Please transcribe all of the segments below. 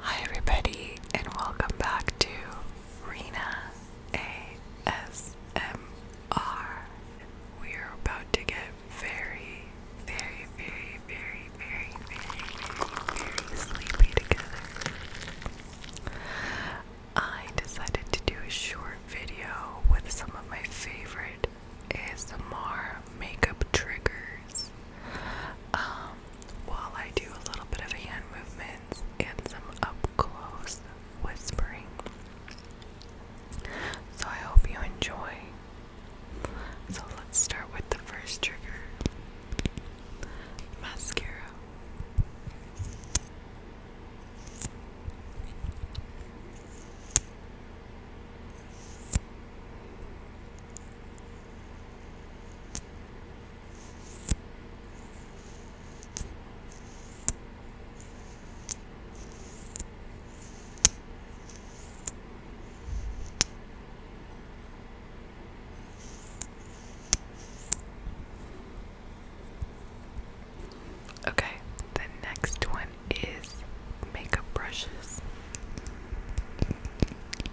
Hi, everybody, and welcome back to Rena ASMR. We're about to get very, very, very, very, very, very, very sleepy together. I decided to do a short video with some of my favorite ASMR makeup triggers. Um, while I do a little bit of hand movements and some up close whispering. So I hope you enjoy. So let's start with the first trigger mascara. Okay, the next one is makeup brushes.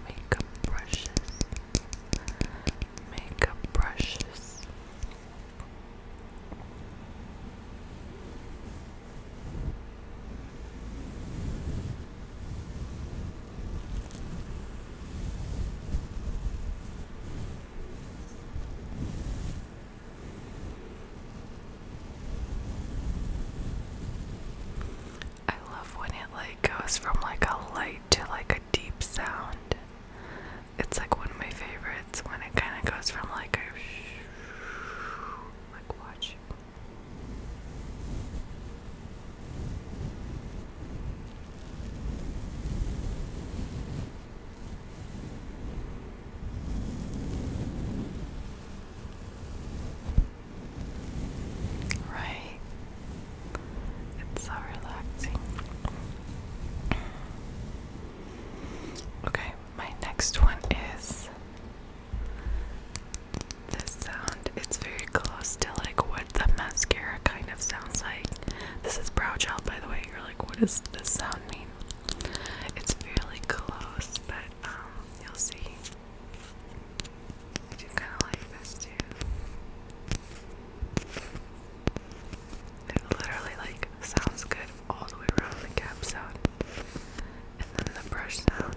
Makeup brushes. Makeup brushes. brushes. I love when it like goes from like a light to like a deep sound. It's like one of my favorites when it kind of goes from like a like watch. Right. It's so relaxing. Okay, my next one is this sound. It's very close to like what the mascara kind of sounds like. This is brow gel, by the way. You're like, what does this sound mean? It's fairly close, but um, you'll see. I do kind of like this too. It literally like sounds good all the way around the cap sound, and then the brush sound.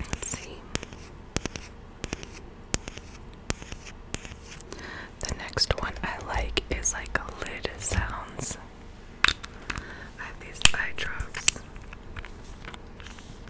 Let's see. The next one I like is like a lid sounds. I have these eye drops.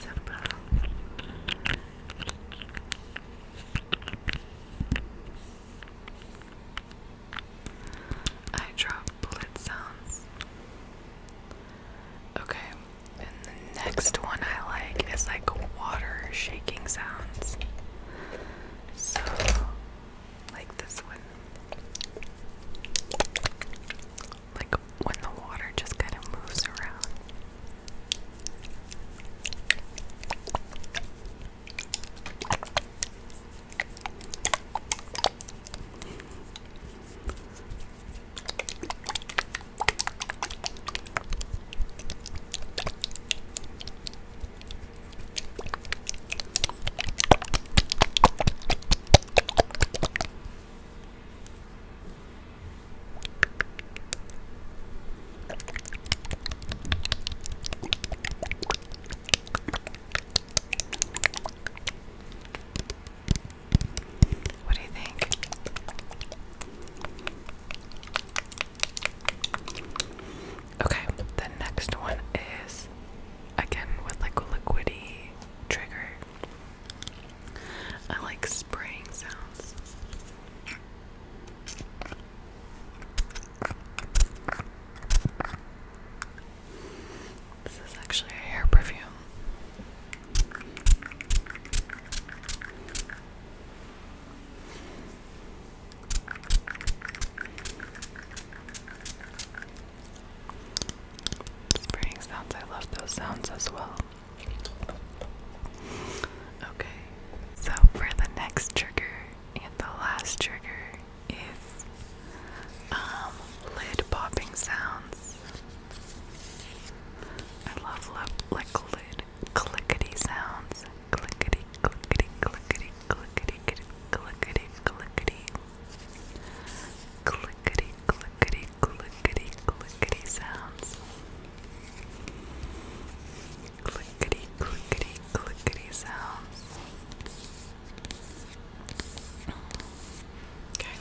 Simple. I drop bullet sounds. Okay, and the next one I like is like water shaking sounds. So, like this one like when the water just kind of moves around. What do you think? Okay, the next one is again with like a liquidy trigger. I like spraying sounds. This is actually a hair perfume. Spraying sounds, I love those sounds as well. Okay, so for the next trigger and the last trigger is um, lid popping sounds. I love like lid clickety sounds. Clickety, clickety, clickety, clickety, clickety, clickety, clickety clickety, clickety, clickety, clickety sounds. Clickety, clickety, clickety sounds. Okay.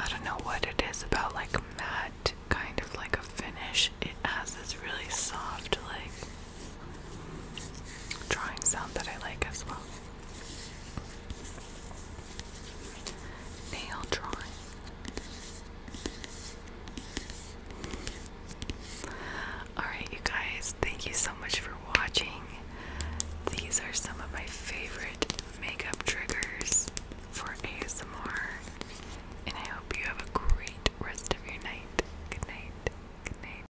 I don't know what it is about like matte kind of like a finish. It has this really soft, like, drawing sound that I like as well. Nail drawing. Alright, you guys, thank you so much for watching. These are some of my favorite makeup triggers for ASMR, and I hope you have a great rest of your night. Good night. Good night.